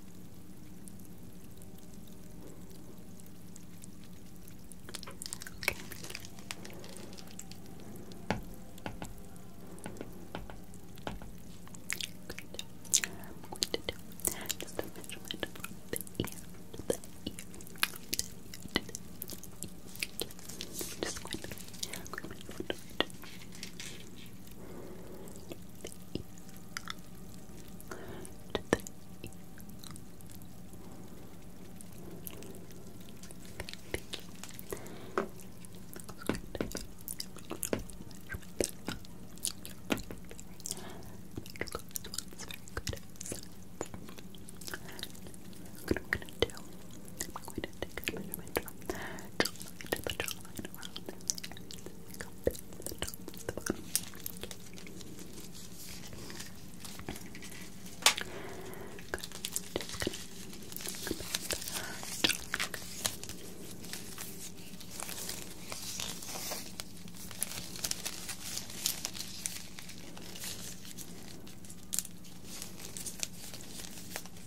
Okay. Good. I'm going to do just a measurement from the ear to the ear, the ear to the ear. Just going to, I'm going to do it. What I'm going to do, I'm going to take a measurement from the jaw to the jaw line around their ears. Go back to the top, the bottom. Okay. Good. Just gonna go back to the top. Okay.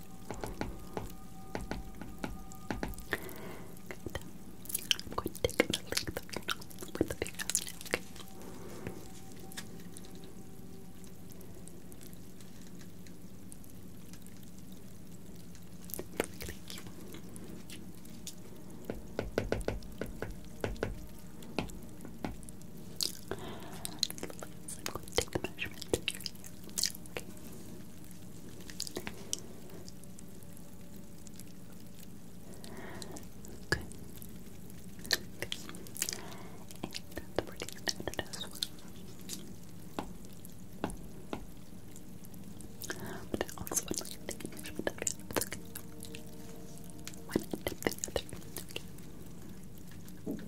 I'm going to take the journal with the big thank you. I'm going to take the measurement Okay. And pretty standard as well. But I also would like to make sure that it's okay. One end of the other. Okay.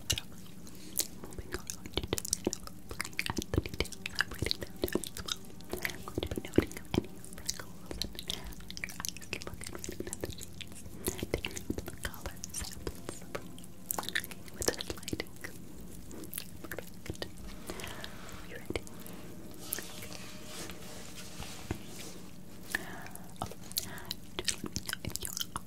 But um, moving on, I'm going to just kind of looking at the details. I'm writing them down as well. I'm going to be noting any freckles and your eyes look and writing down the shades. Taking out the color samples with this lighting. Perfect. Are you ready? Okay. Oh, just let me know if you are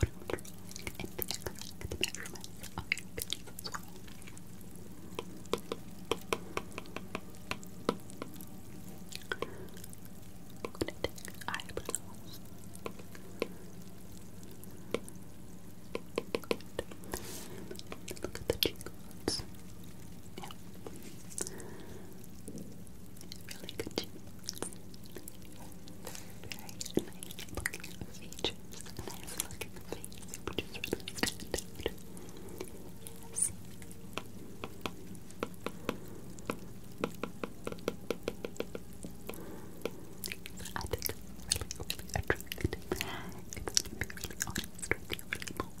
would order the measurements of your penis eyebrows. Look at the cheekbones. Yeah really good cheekbones, very nice looking features, nice looking face, which is really good. I think it's really, attractive. It's to be really you, really bold.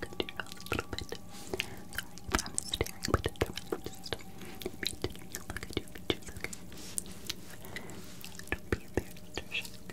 Good to a little bit. Sorry, I'm staring, but it's alright. Just maintain a be embarrassed or shocked.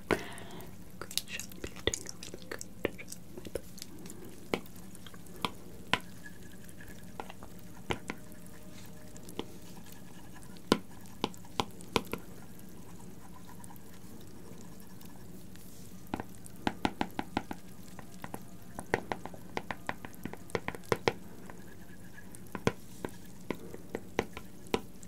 Great job, you good job.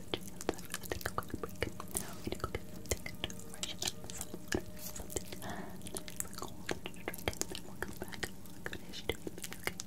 think I'll go to break. Now we're gonna go get something to wash up, some water, something nice and cold to drink, and then we'll come back and we'll finish doing the video, okay? Good.